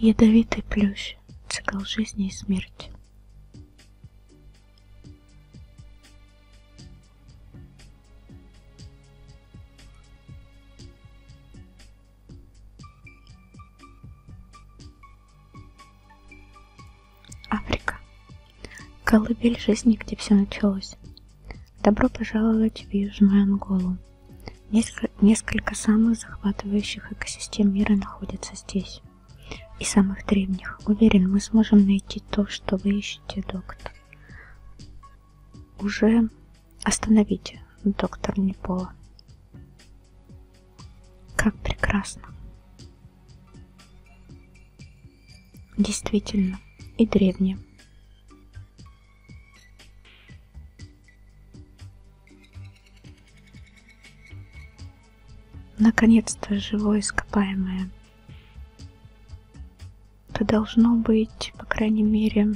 Ядовитый плющ. Цикл жизни и смерти. Африка. Колыбель жизни, где все началось. Добро пожаловать в Южную Анголу. Несколько, несколько самых захватывающих экосистем мира находятся здесь. И самых древних. Уверен, мы сможем найти то, что вы ищете, доктор. Уже остановите, доктор Непола. Как прекрасно. Действительно, и древние. Наконец-то живое ископаемое. Это должно быть, по крайней мере,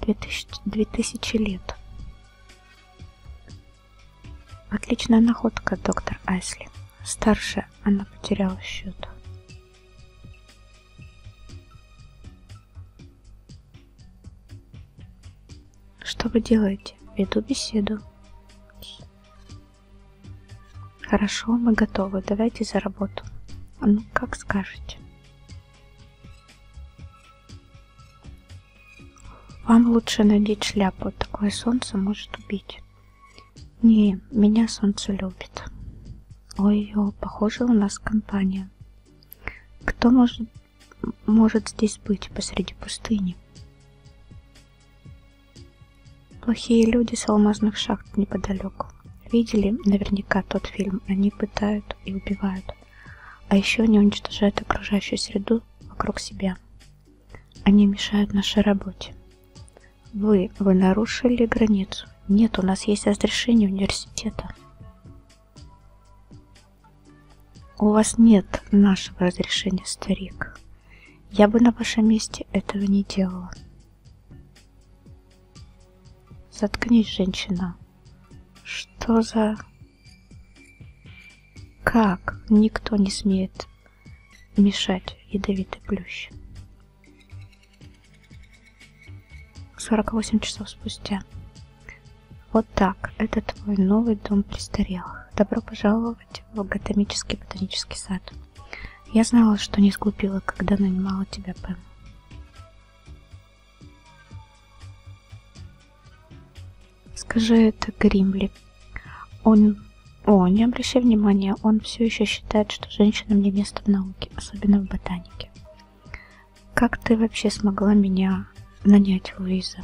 2000, 2000 лет. Отличная находка, доктор Айсли. Старше она потеряла счет. Что вы делаете? Веду беседу. Хорошо, мы готовы. Давайте за работу. Ну, как скажете. Вам лучше надеть шляпу, такое солнце может убить. Не, меня солнце любит. Ой, о, похоже, у нас компания. Кто может, может здесь быть посреди пустыни? Плохие люди с алмазных шахт неподалеку. Видели наверняка тот фильм? Они пытают и убивают. А еще они уничтожают окружающую среду вокруг себя. Они мешают нашей работе. Вы, вы нарушили границу. Нет, у нас есть разрешение университета. У вас нет нашего разрешения, старик. Я бы на вашем месте этого не делала. Заткнись, женщина. Что за... Как никто не смеет мешать ядовитый плющ? 48 часов спустя. Вот так, это твой новый дом престарелых. Долбро пожаловать в Гатомический ботанический сад. Я знала, что не сглупила, когда нанимала тебя, Пэм. Скажи это Гримли. Он... О, не обращай внимания, он все еще считает, что женщинам не место в науке, особенно в ботанике. Как ты вообще смогла меня нанять, Луиза?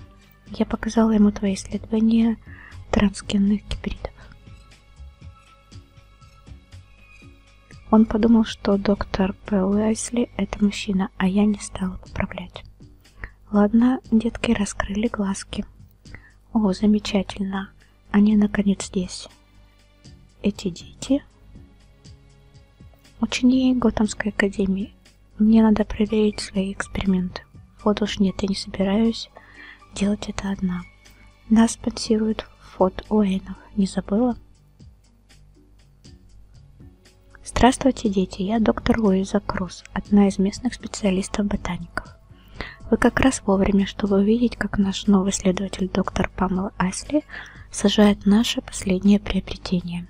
Я показала ему твои исследования трансгенных гибридов. Он подумал, что доктор П. Уайсли – это мужчина, а я не стала поправлять. Ладно, детки раскрыли глазки. О, замечательно. Они наконец здесь. Эти дети ученики Готэмской академии. Мне надо проверить свои эксперименты. Вот уж нет, я не собираюсь делать это одна. Нас спонсирует фот Уэйнов. Не забыла? Здравствуйте, дети, я доктор Луиза Круз, одна из местных специалистов-ботаников. Вы как раз вовремя, чтобы увидеть, как наш новый следователь доктор Памела Асли сажает наше последнее приобретение.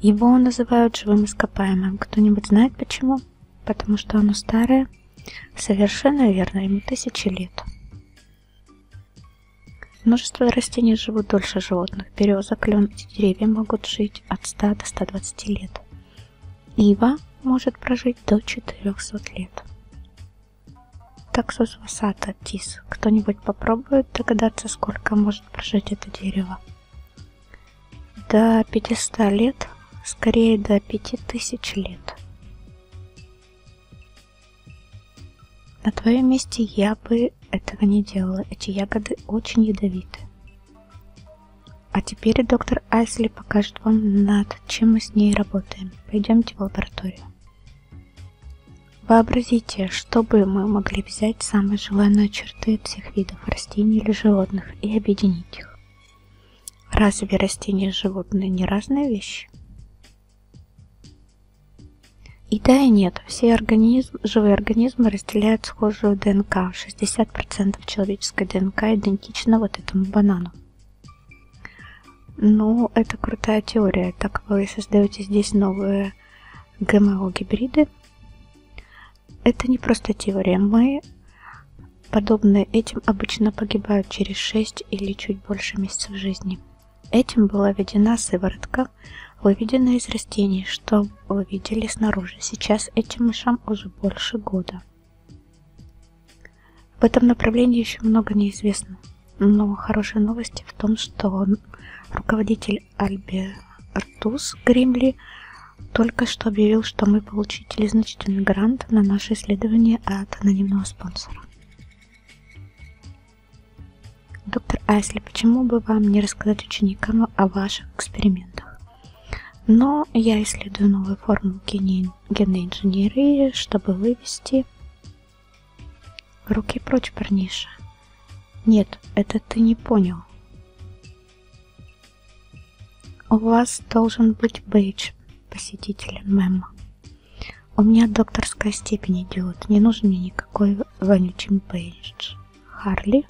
Его называют живым ископаемым. Кто-нибудь знает почему? Потому что оно старое? Совершенно верно, ему тысячи лет. Множество растений живут дольше животных. Береза, клен, эти деревья могут жить от 100 до 120 лет. Ива может прожить до 400 лет. Таксус васата тис. Кто-нибудь попробует догадаться, сколько может прожить это дерево? До 500 лет, скорее до 5000 лет. На твоем месте я бы ты этого не делала. Эти ягоды очень ядовиты. А теперь доктор Айсли покажет вам, над чем мы с ней работаем. Пойдемте в лабораторию. Вообразите, что бы мы могли взять самые желанные черты всех видов растений или животных и объединить их. Разве растения и животные не разные вещи? И да, и нет. Все организм, живые организмы разделяют схожую ДНК. 60% человеческой ДНК идентична вот этому банану. Но ну, это крутая теория, так как вы создаете здесь новые ГМО-гибриды. Это не просто теория. Мы, подобные этим, обычно погибают через 6 или чуть больше месяцев жизни. Этим была введена сыворотка, мышам, выведенную из растений, что вы видели снаружи. Сейчас этим мышам уже больше года. В этом направлении еще много неизвестно, но хорошая новость в том, что он, руководитель Альбертус Гримли только что объявил, что мы получили значительный грант на наше исследование от анонимного спонсора. Доктор Айсли, почему бы вам не рассказать ученикам о ваших экспериментах? Но я исследую новую форму генной инженерии, чтобы вывести руки прочь, парниша. Нет, это ты не понял. У вас должен быть бейдж посетителя, мэм. У меня докторская степень, идиот. Не нужен мне никакой вонючий бейдж. Харли?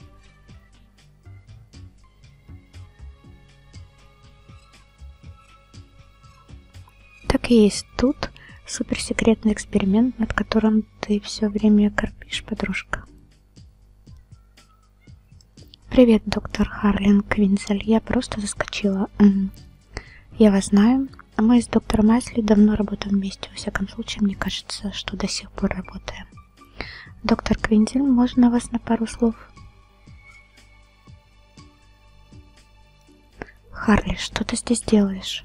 Так и есть тут суперсекретный эксперимент, над которым ты все время корпишь, подружка. Привет, доктор Харлин Квинзель. Я просто заскочила. Я вас знаю. Мы с доктором Айсли давно работаем вместе, во всяком случае, мне кажется, что до сих пор работаем. Доктор Квинтин, можно вас на пару слов? Харли, что ты здесь делаешь?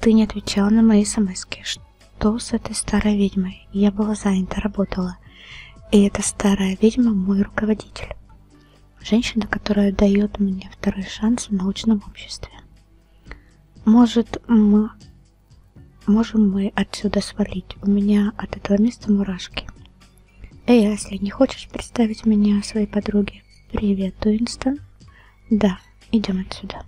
Ты не отвечала на мои смс -ки. Что с этой старой ведьмой? Я была занята, работала. И эта старая ведьма мой руководитель. Женщина, которая дает мне второй шанс в научном обществе. Может, мы... Можем мы отсюда свалить? У меня от этого места мурашки. Эй, Асли, не хочешь представить меня своей подруге? Привет, Уинстон. Да, идем отсюда.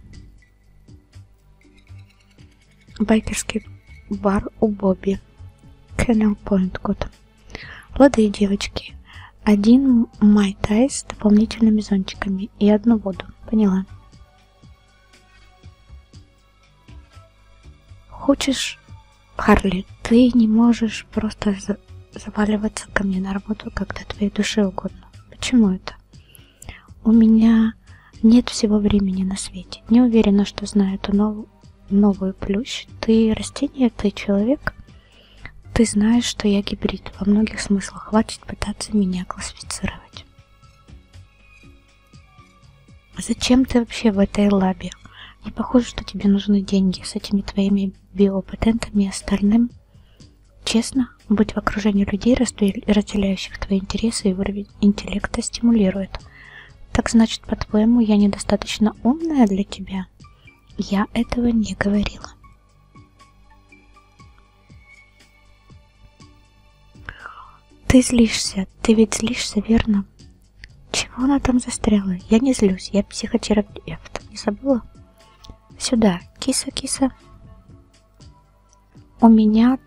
Байкерский бар у Бобби. Кеннел Пойнт, Готэм. Лады, девочки. Один майтай с дополнительными зонтиками и одну воду. Поняла. Хочешь, Харли, ты не можешь просто за заваливаться ко мне на работу, когда твоей душе угодно. Почему это? У меня нет всего времени на свете. Не уверена, что знаю эту нов новую плющ. Ты растение, ты человек. Ты знаешь, что я гибрид. Во многих смыслах хватит пытаться меня классифицировать. Зачем ты вообще в этой лабе? Не похоже, что тебе нужны деньги с этими твоими биопатентами и остальным. Честно, быть в окружении людей, разделяющих твои интересы и уровень интеллекта, стимулирует. Так значит, по-твоему, я недостаточно умная для тебя? Я этого не говорила. Ты злишься, ты ведь злишься, верно? Чего она там застряла? Я не злюсь, я психотерапевт. Не забыла? Сюда, киса, киса. У меня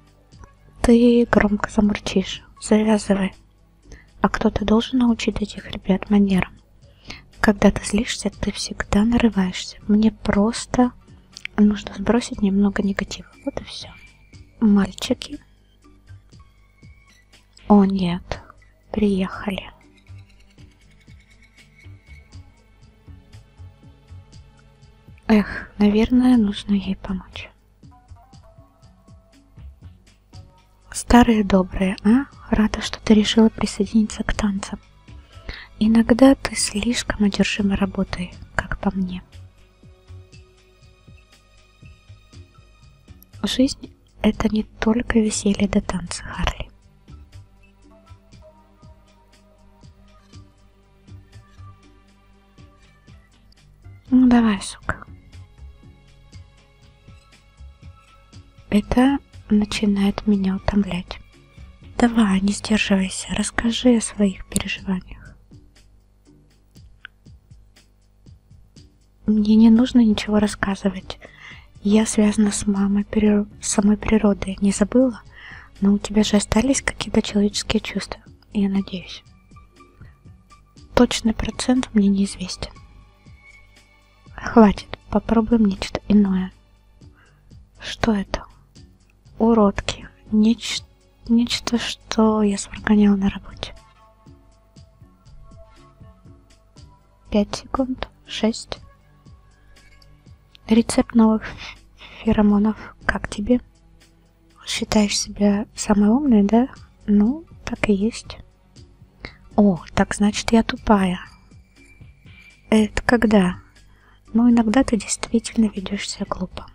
ты громко замурчишь. Завязывай. А кто-то должен научить этих ребят манерам. Когда ты злишься, ты всегда нарываешься. Мне просто нужно сбросить немного негатива. Вот и все. Мальчики. О нет, приехали. Эх, наверное, нужно ей помочь. Старые добрые, а? Рада, что ты решила присоединиться к танцам. Иногда ты слишком одержима работой, как по мне. Жизнь – это не только веселье до танца, Харли. Ну давай, сука. Это начинает меня утомлять. Давай, не сдерживайся, расскажи о своих переживаниях. Мне не нужно ничего рассказывать. Я связана с мамой, прир... с самой природой. Не забыла? Но у тебя же остались какие-то человеческие чувства, я надеюсь. Точный процент мне неизвестен. Хватит, попробуем нечто иное. Что это? Уродки. Неч... Нечто, что я сварганила на работе. 5 секунд, 6. Рецепт новых феромонов. Как тебе? Считаешь себя самой умной, да? Ну, так и есть. О, так значит я тупая. Это когда? Ну, иногда ты действительно ведешь себя глупо.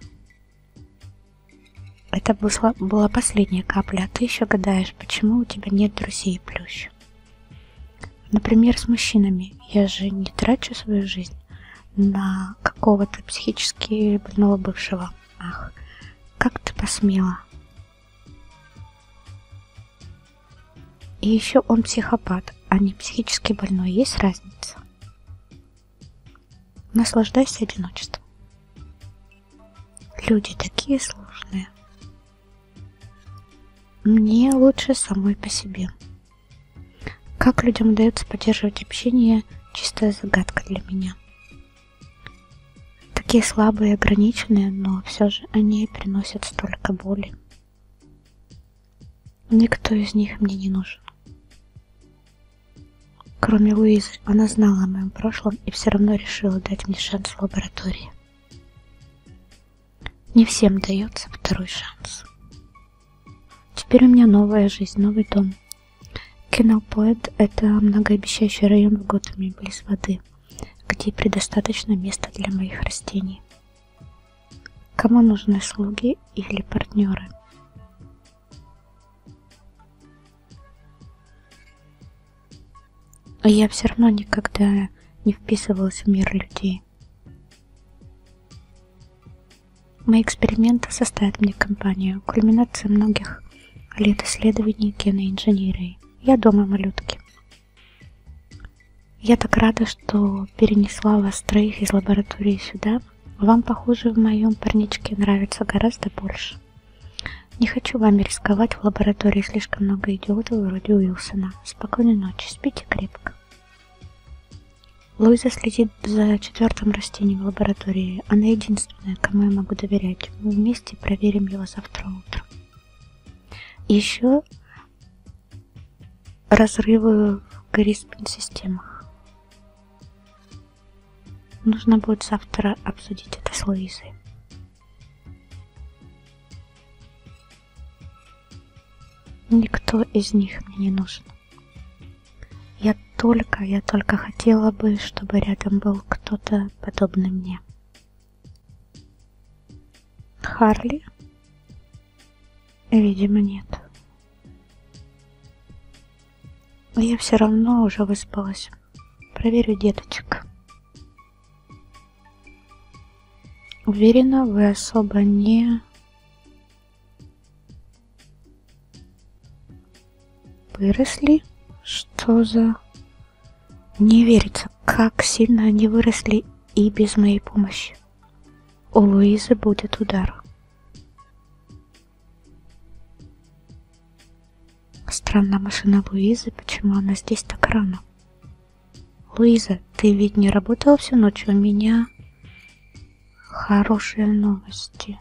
Это была последняя капля, а ты еще гадаешь, почему у тебя нет друзей и плющ. Например, с мужчинами. Я же не трачу свою жизнь на какого-то психически больного бывшего. Ах, как ты посмела. И еще он психопат, а не психически больной. Есть разница? Наслаждайся одиночеством. Люди такие сложные. Мне лучше самой по себе. Как людям удается поддерживать общение, чистая загадка для меня. Такие слабые и ограниченные, но все же они приносят столько боли. Никто из них мне не нужен. Кроме Луизы, она знала о моем прошлом и все равно решила дать мне шанс в лаборатории. Не всем дается второй шанс. Теперь у меня новая жизнь, новый дом. Кеннелпоэт – это многообещающий район в Готэме, близ воды где предостаточно места для моих растений. Кому нужны слуги или партнеры? А я все равно никогда не вписывалась в мир людей. Мои эксперименты составят мне компанию, кульминация многих лет исследований генной инженерии. Я дома, малютки. Я так рада, что перенесла вас троих из лаборатории сюда. Вам, похоже, в моем парничке нравится гораздо больше. Не хочу вами рисковать, в лаборатории слишком много идиотов вроде Уилсона. Спокойной ночи, спите крепко. Луиза следит за четвертым растением в лаборатории. Она единственная единственная, кому я могу доверять. Мы вместе проверим его завтра утром. Еще разрывы в корреспонд-системах. Нужно будет завтра обсудить это с Луизой. Никто из них мне не нужен. Я только, я только хотела бы, чтобы рядом был кто-то подобный мне. Харли? Видимо, нет. Но я все равно уже выспалась. Проверю деточек. Уверена, вы особо не... Выросли? Что за... Не верится, как сильно они выросли и без моей помощи. У Луизы будет удар. Странная машина Луизы, почему она здесь так рано? Луиза, ты ведь не работала всю ночь, у меня хорошие новости.